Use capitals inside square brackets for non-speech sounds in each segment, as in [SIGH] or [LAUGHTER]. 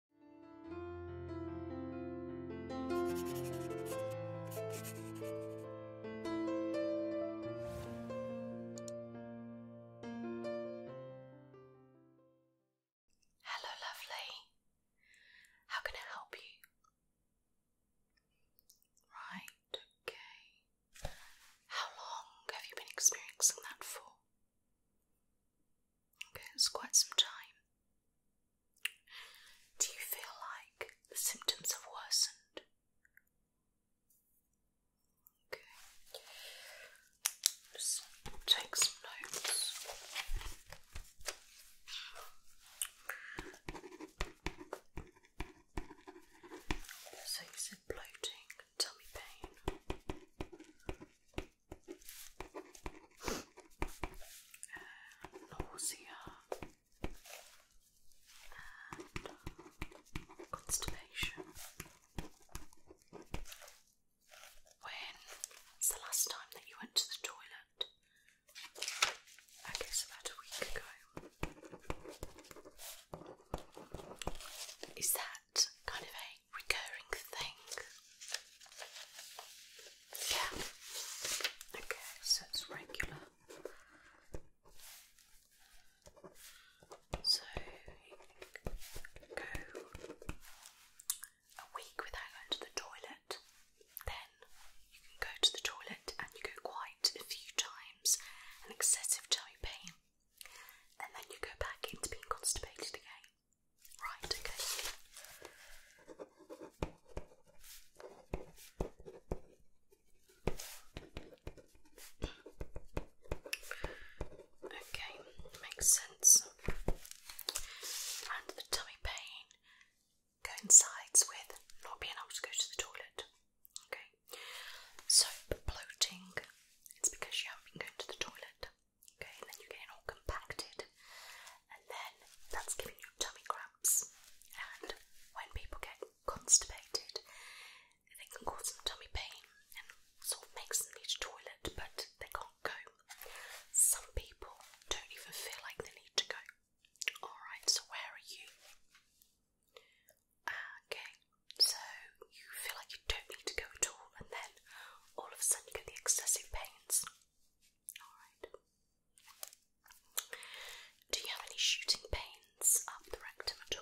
Hello, lovely. How can I help you? Right, okay. How long have you been experiencing that for? Okay, it's quite some time. Do you feel like the symptoms have worsened? Okay. Just take some notes. So you said bloating tummy pain nausea and constipation. When's the last time that you went to the toilet? I guess about a week ago. Is that kind of a recurring thing. Yeah. Okay, so it's regular. So go a week without going to the toilet, then you can go to the toilet and you go quite a few times, an excessive tummy pain, and then you go back into being constipated again. Right, okay. Okay, makes sense. And the tummy pain coincides with not being able to go to the toilet. Okay, so bloating, it's because you haven't been going to the toilet. Okay, and then you get it all compacted, and then that's giving you tummy cramps. And when people get constipated, they can cause some tummy pain and sort of makes them need a toilet, but they can't go. Some people don't even feel like they need to go. Alright, so where are you? Ah, okay, so you feel like you don't need to go at all, and then all of a sudden you get the excessive pains. Do you have any shooting pains up the rectum at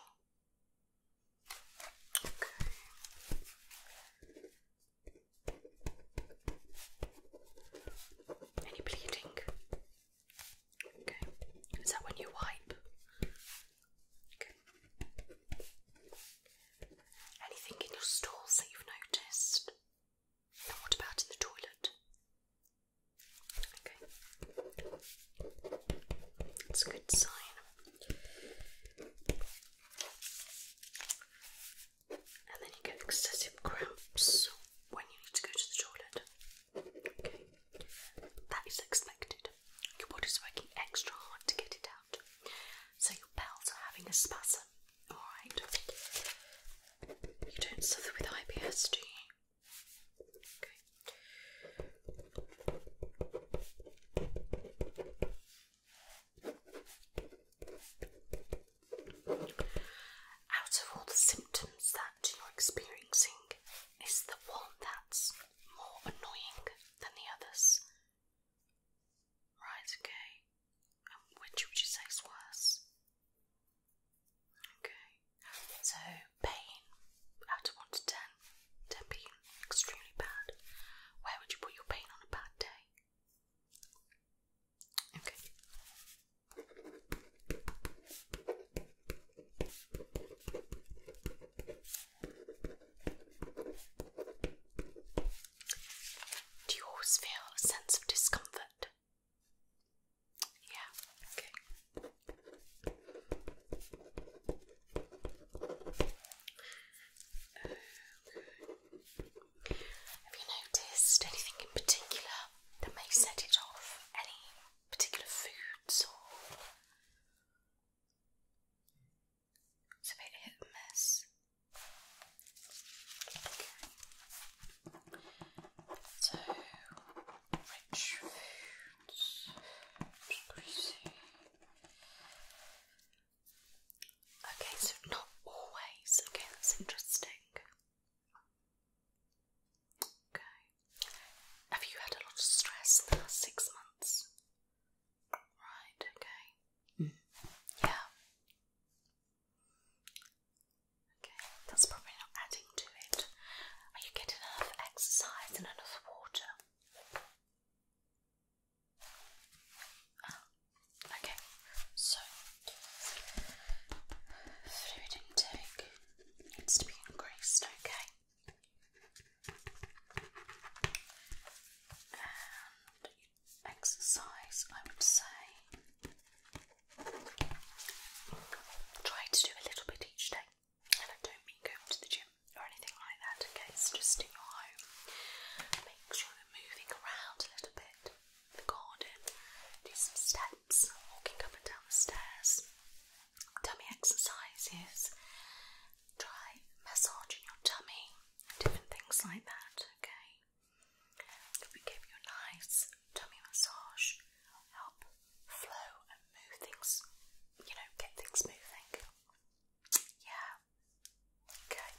all? Any bleeding? Okay. Is that when you wipe? Okay. Anything in your stools that you've noticed? what about the toilet? Okay. That's a good sign. And then you get excessive cramps when you need to go to the toilet. Okay. That is expected. Your body's working extra hard to get it out. So your bowels are having a spasm Alright. You don't suffer with IBS, do you? Out of all the symptoms that you're experiencing, is the one that's more annoying than the others? Right, okay. Which would you say is worse? Okay, so pain out of 1 to 10, being extremely bad. Where would you put your pain on a bad day? Okay. Do you always feel a sense of discomfort? Yeah, okay. Have you noticed anything in particular that may set it off? Any particular foods or. It's a bit hit and miss. Okay. So, rich foods, Okay, so not always. Okay, that's interesting. Okay. Have you had a lot of stress in the last six months? Right, okay. Mm. Yeah. Okay, that's probably not adding to it. Are you getting enough exercise and enough water? Ah, okay, so fluid intake needs to be increased, okay? exercise, I would say. Try to do a little bit each day, and I don't mean going to the gym or anything like that, okay? It's just in your home. Make sure you're moving around a little bit, the garden, do some steps, walking up and down the stairs, tummy exercises, try massaging your tummy, different things like that, okay? We give you a nice tummy massage, help flow and move things, you know, get things moving. Yeah. Okay.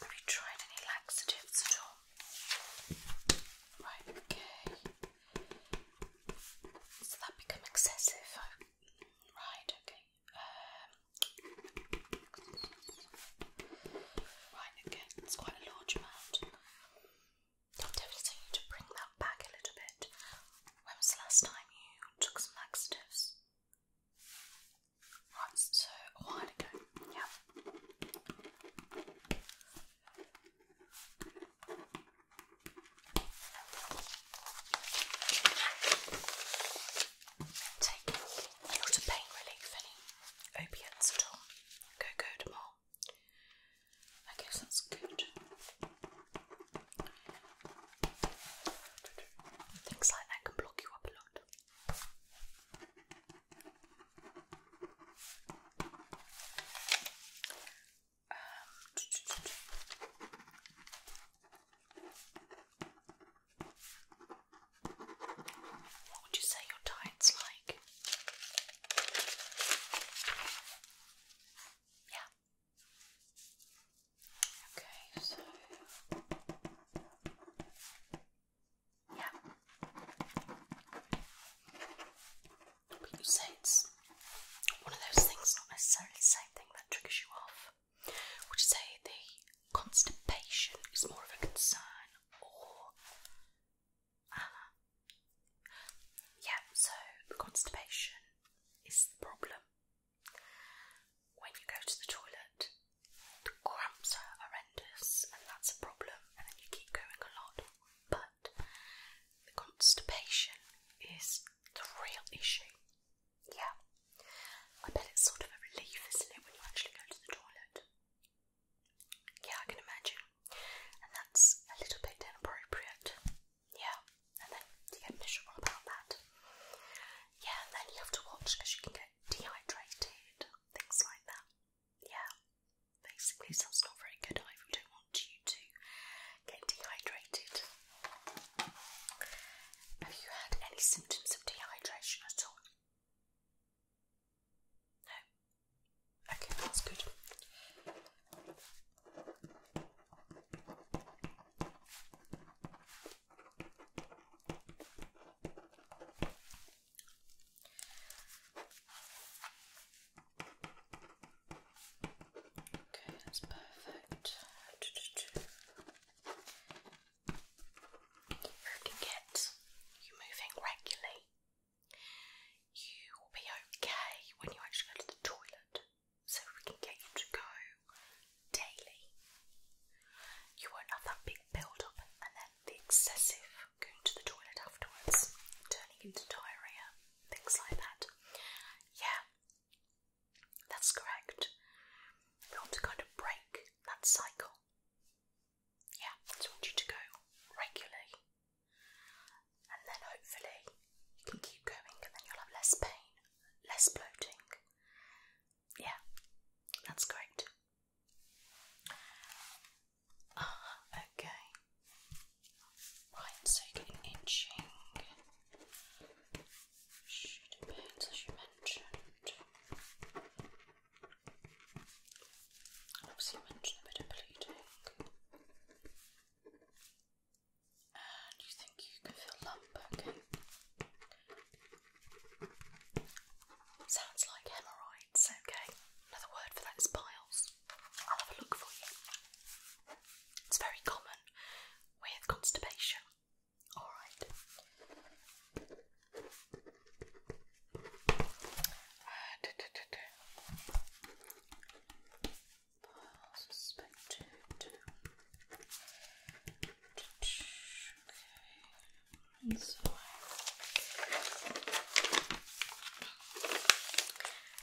Have you tried any laxatives at okay. Has that become excessive? Oh, right, okay right, again, it's quite a large amount. I'll need to bring that back a little bit. When was the last time you took some laxatives? Right, so a ago, yeah take not a pain relief, any opiates at all. Go go I guess that's good. Things like that can block you up a lot. Um, what would you say your diet's like? Yeah. Okay, so. Yeah. you say it's one of those things, not necessarily the same thing that triggers you off. Would you say the constipation is more of a concern or. Uh, yeah, so constipation is the problem. When you go to the toilet, the cramps are horrendous, and that's a problem, and then you keep going a lot. But the constipation is the real issue. Yeah. I bet it's sort of a relief, isn't it, when you actually go to the toilet? Yeah, I can imagine. And that's a little bit inappropriate. Yeah. And then you get miserable about that. Yeah, then you have to watch because you can get dehydrated, things like that. Yeah. Basically, so it's not very good. I don't want you to get dehydrated. Have you had any symptoms of dehydration at all? No. Okay, that's good. Okay, that's perfect who can get you moving regularly, you will be okay when you actually go to the toilet. So we can get you to go daily. You won't have that big build up and then the excessive going to the toilet afterwards, turning into diarrhea, things like that. Yeah, that's correct. We want to kind of break that cycle. Yeah, I just want you to go regularly, and then hopefully you can keep going, and then you'll have less pain, less bloating. Yeah, that's great. Ah, okay. Right, so you're getting itching. Should pains, as you mentioned. Obviously, you mentioned a bit of bleeding. And you think you can feel lump, Sounds like hemorrhoids, okay? Another word for that is piles. I'll have a look for you. It's very common with constipation. All right. Uh, do, do, do, do. Suspected. Okay. Inside.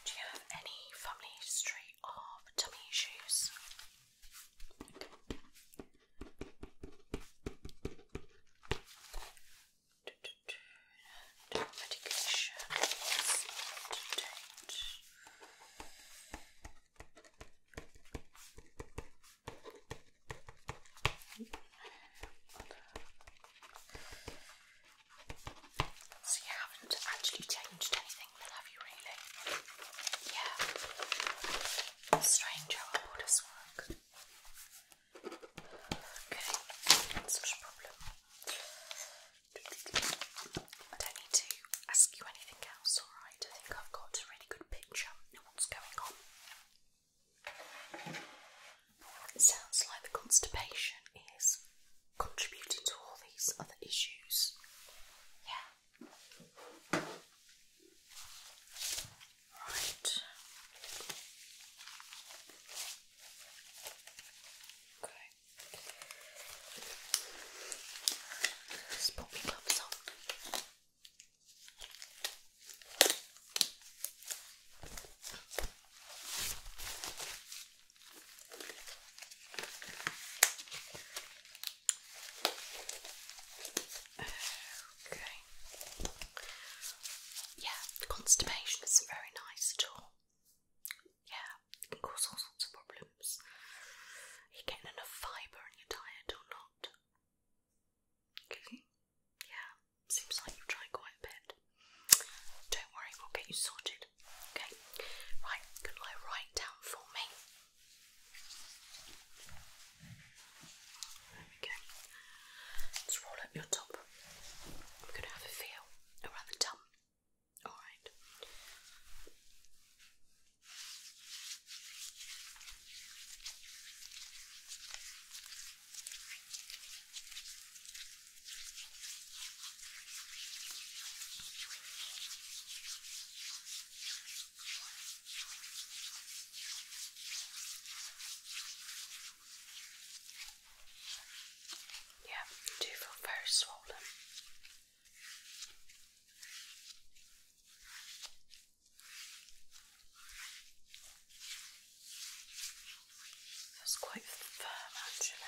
Do you have any family history of tummy issues? medication So you haven't actually changed anything have you really? Yeah. Strange how all this Okay, that's not problem. don't need to ask you anything else, alright? I think I've got a really good picture what's going on. It sounds like the constipation is contributing to all these other issues. Yeah. Right. Okay. Let's put my gloves on. [SIGHS] Okay. Yeah, constipation isn't very nice at all. Yeah, it can cause all sorts of problems. you Are getting enough fibre and you're tired or not? Okay. Yeah, seems like you've tried quite a bit. Don't worry, we'll get you sorted. Okay. Right, can I write down for me. There Let's roll up your top. We're going to have a feel around the tum. Alright. Yeah, I feel very swollen. Feels quite firm actually.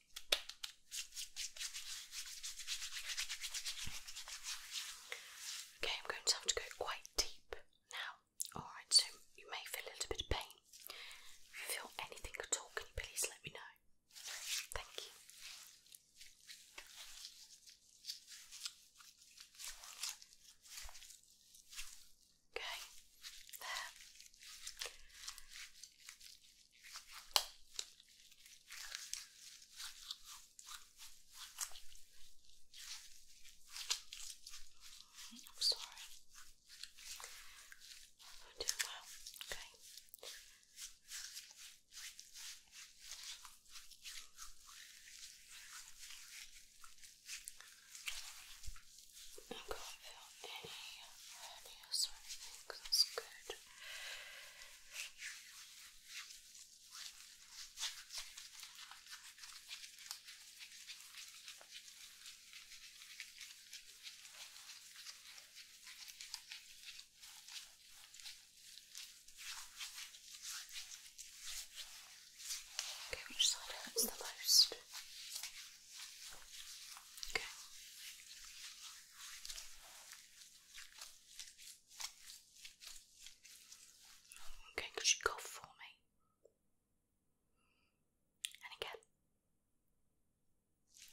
Okay, I'm going to have to go quite deep now. Alright, so you may feel a little bit of pain. If you feel anything at all, can you please let me know? Thank you. Okay, there. I'm sorry. I'm doing well. Okay not going to feel any redness or anything because Okay, which side hurts the most? Okay. Okay, could you for me? And again.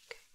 Okay.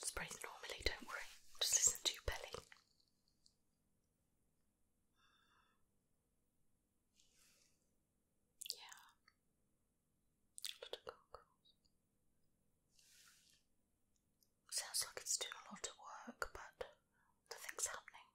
Just normally, don't worry. Just listen to your belly. Yeah. A lot Sounds like it's doing a lot of work, but nothing's happening.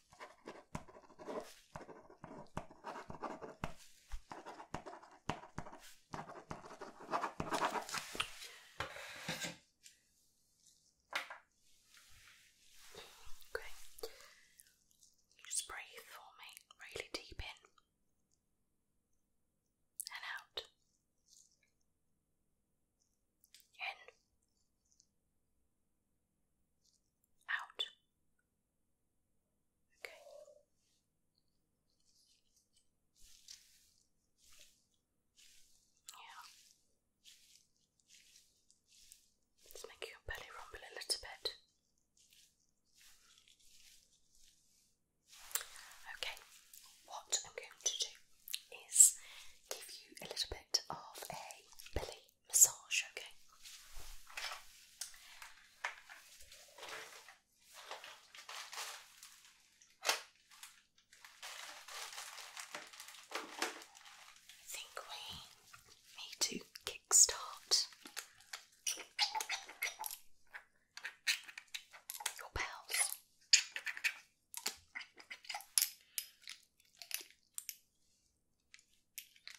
Okay. Just breathe for me, really deep in and out. In. Out. Okay. Yeah. Let's make your belly rumble a little bit. Okay, what I'm going to do is give you a little bit of a belly massage, okay? I think we need to kickstart your bells.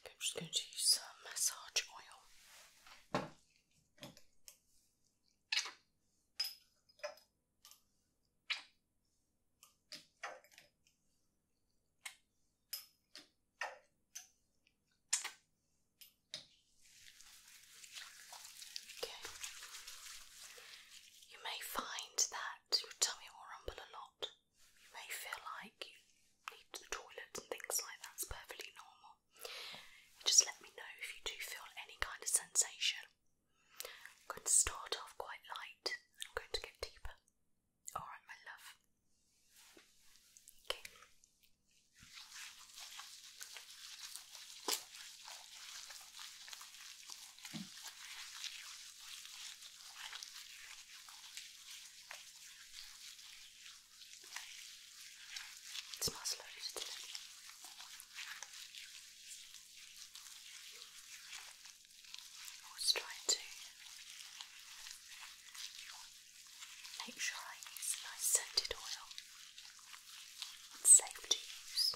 I'm just going to use some massage oil. Okay. You may find that your tummy will rumble a lot you may feel like you need the toilet and things like that. It's perfectly normal. Just let me know if you do feel any kind of sensation. I'm going to start off quite light and I'm going to get deeper. Alright, my love. Okay. It's smells loaded, I was trying to make sure I use a nice scented oil. It's safe to use.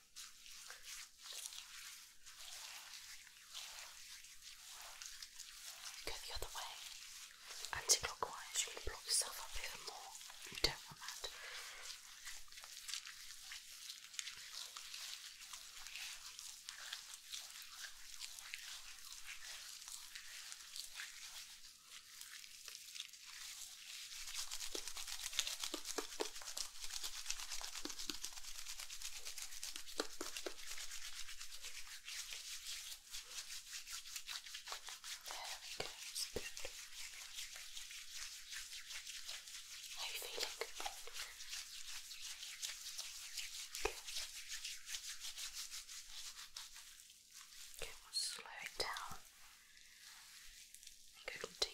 Go the other way. Anti-clockwise, you can block yourself up even more. don't want that. Good. How are you feeling? Good. Okay, we'll slow it down and go a little deeper.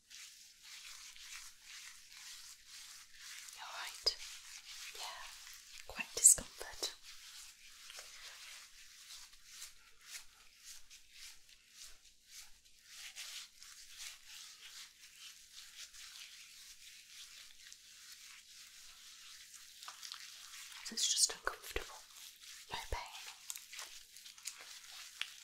Alright, yeah, quite discomfort. It's just uncomfortable, no pain.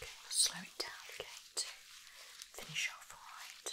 Okay, we'll slow it down again to finish off all right.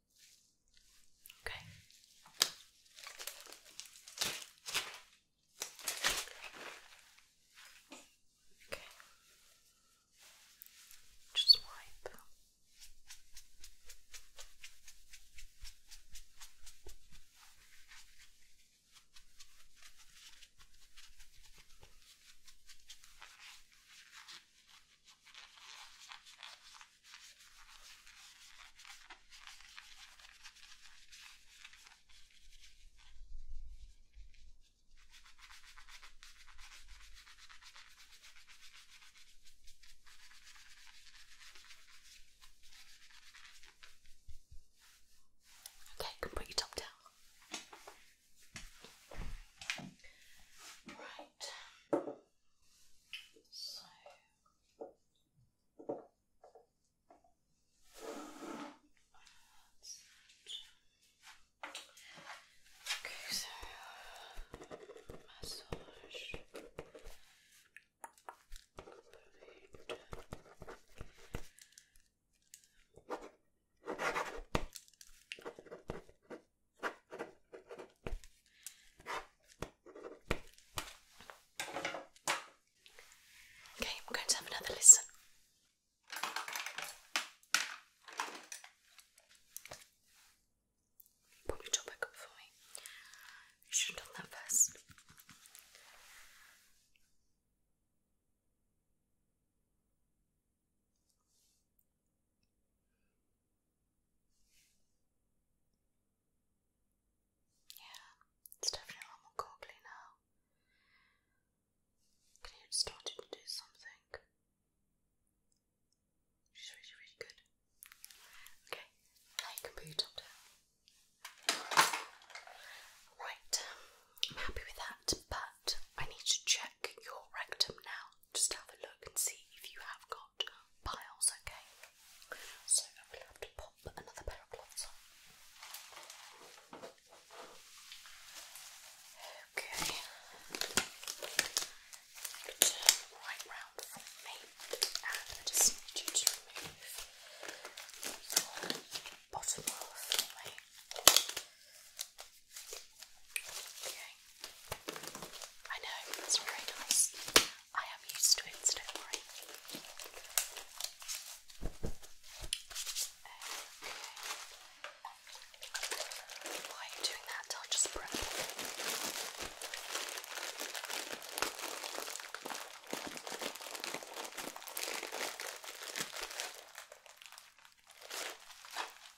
Okay. Okay. Just wipe. Okay. Okay, you can put your top down. Right. So that's Okay, so massage Okay, I'm going to have another listen. Put your top back up for me. You should have done that first. Yeah, it's definitely a lot more goggly now. Can you start to do something? She's really, really good. Okay, now you can put Right, I'm happy with that, but I need to check your rectum now just have a look and see if you have got piles, okay? So I'm have to pop another pair of gloves on. Okay. Turn right round from me and I just need to remove bottom half Okay. I know, it's very nice. I am used to it, so don't worry. Okay. While you doing that, I'll just prep. Okay,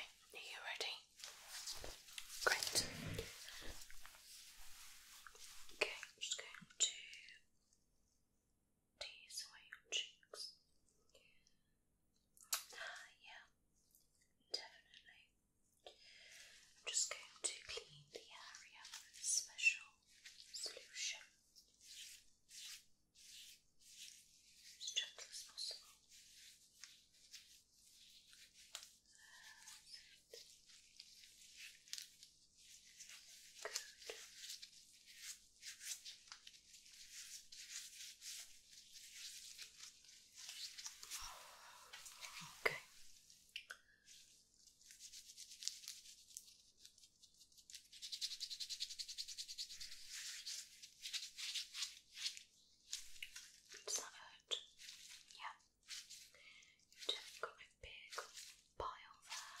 are you ready? Great. Okay, I'm just going to tease away your cheeks. Uh, yeah, definitely. I'm just going to clean the area with a special solution as gentle as possible. Good. Okay. Does Yeah. You've definitely got a big pile there.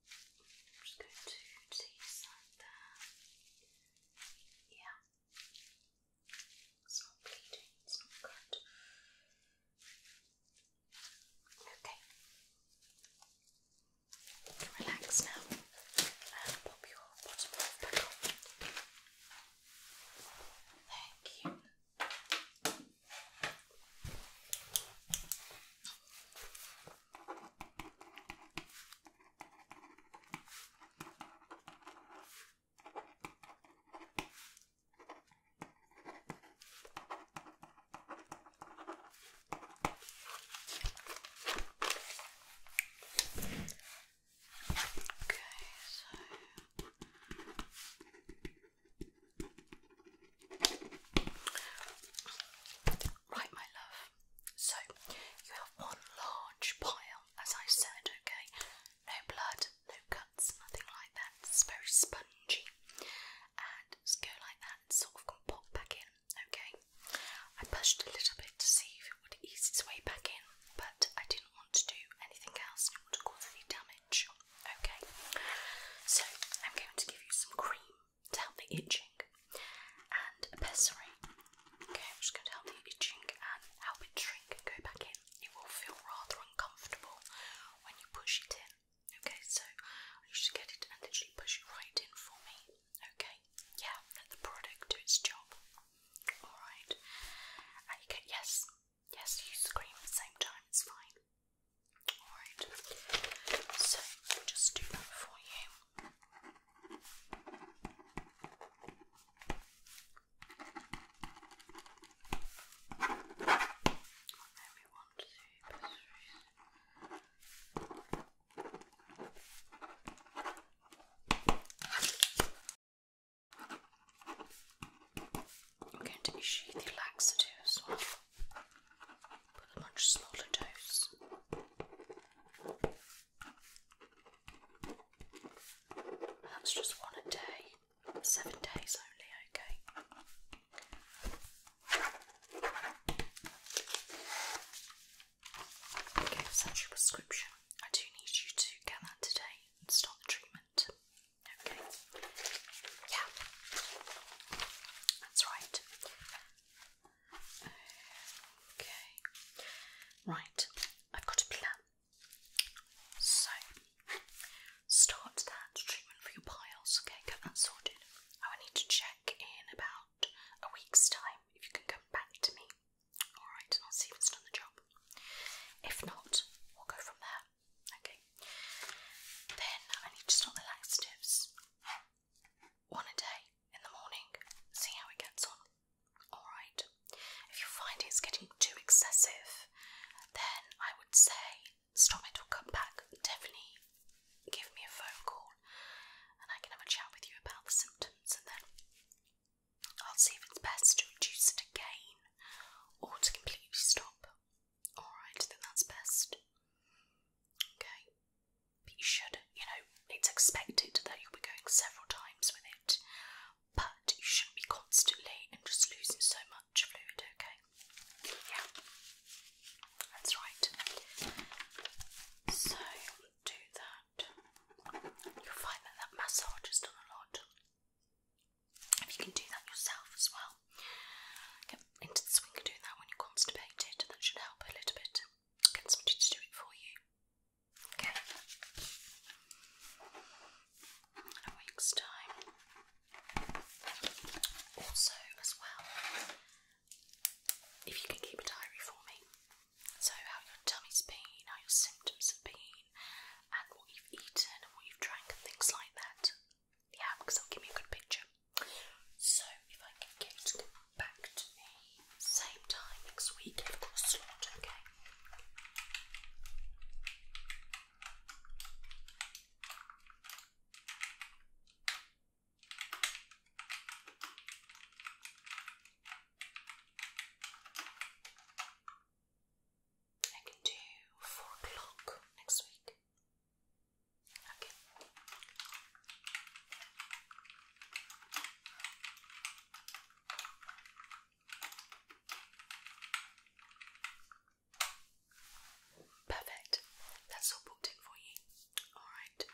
just going to the side Yeah. It's bleeding, it's not Okay. Relax now and pop your bottom back on. Thank you so right, my love. So you have one large pile, as I said, okay? No blood, no cuts, nothing like that. It's very spongy. And just go like that sort of can pop back in, okay? I pushed a little bit to see if it would ease its way back in, but I didn't want to do anything else and it would cause any damage. Okay, so I'm going to give you some cream to help the itching and a pessary. Okay, I'm just going to help the itching and help it shrink and go back in. It will feel rather uncomfortable when you push it in. Okay, so you should get it and literally push it right in for me. Okay, yeah, let the product do its job. Alright, yes, yes, you scream at the same time, it's fine. Alright, so I'll just do that for you. I'm going to issue the laxative as well, but a much smaller dose. That's just one a day, seven days only, okay. Okay, such prescription. I do need you to get that today and start the treatment. Okay. Yeah. That's right. Okay. Right, I've got a plan. So, start that treatment for your piles, okay? Get that sorted. I will need to check in about a week's time if you can come back to me. Alright, and I'll see if it's done the job. If not, we'll go from there, okay? Then I need to start the laxatives. One a day in the morning. See how it gets on. Alright. If you find it's getting too excessive, then I would say stop it or come back. Definitely give me a phone call and I can have a chat with you about the symptoms and then I'll see if it's best to reduce it again or to completely stop. Alright, then that's best. Okay but you should, you know, it's expected that you'll be going several times with it, but you shouldn't be constantly and just losing so much fluid, okay? Yeah, that's right. So, do that. You'll find that that massage has done a lot. If you can do that yourself as well, get into the swing of doing that when you're constipated, that should help a little bit. Get somebody to do it for you. Okay. In a week's time. Also, as well, if you can keep a diary for me, so how your tummy's been, how your symptoms have been, and what you've eaten and what you've drank and things like that. Yeah, because it'll give me a good picture. So, if I can get back to me same time next week if I've got a slot, okay? I can do four o'clock next week. Okay. Perfect. That's all booked for you. Alright.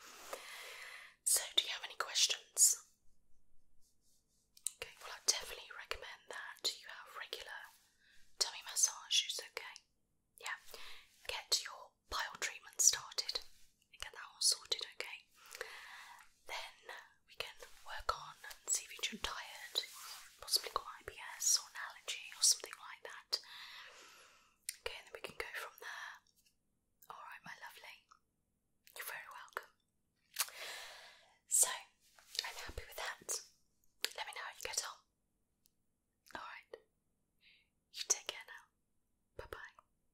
So, do you have any questions? Okay, well, I definitely recommend that you have regular tummy massages, okay? Yeah. Get your bile treatment started and get that all sorted, okay? Then we can work on and see if you're tired, possibly got IBS or an allergy or something like that. Okay, then we can go from there. Alright, my lovely. You're very welcome. So, I'm happy with that. Let me know how you get on. Alright. You take care now. Bye bye.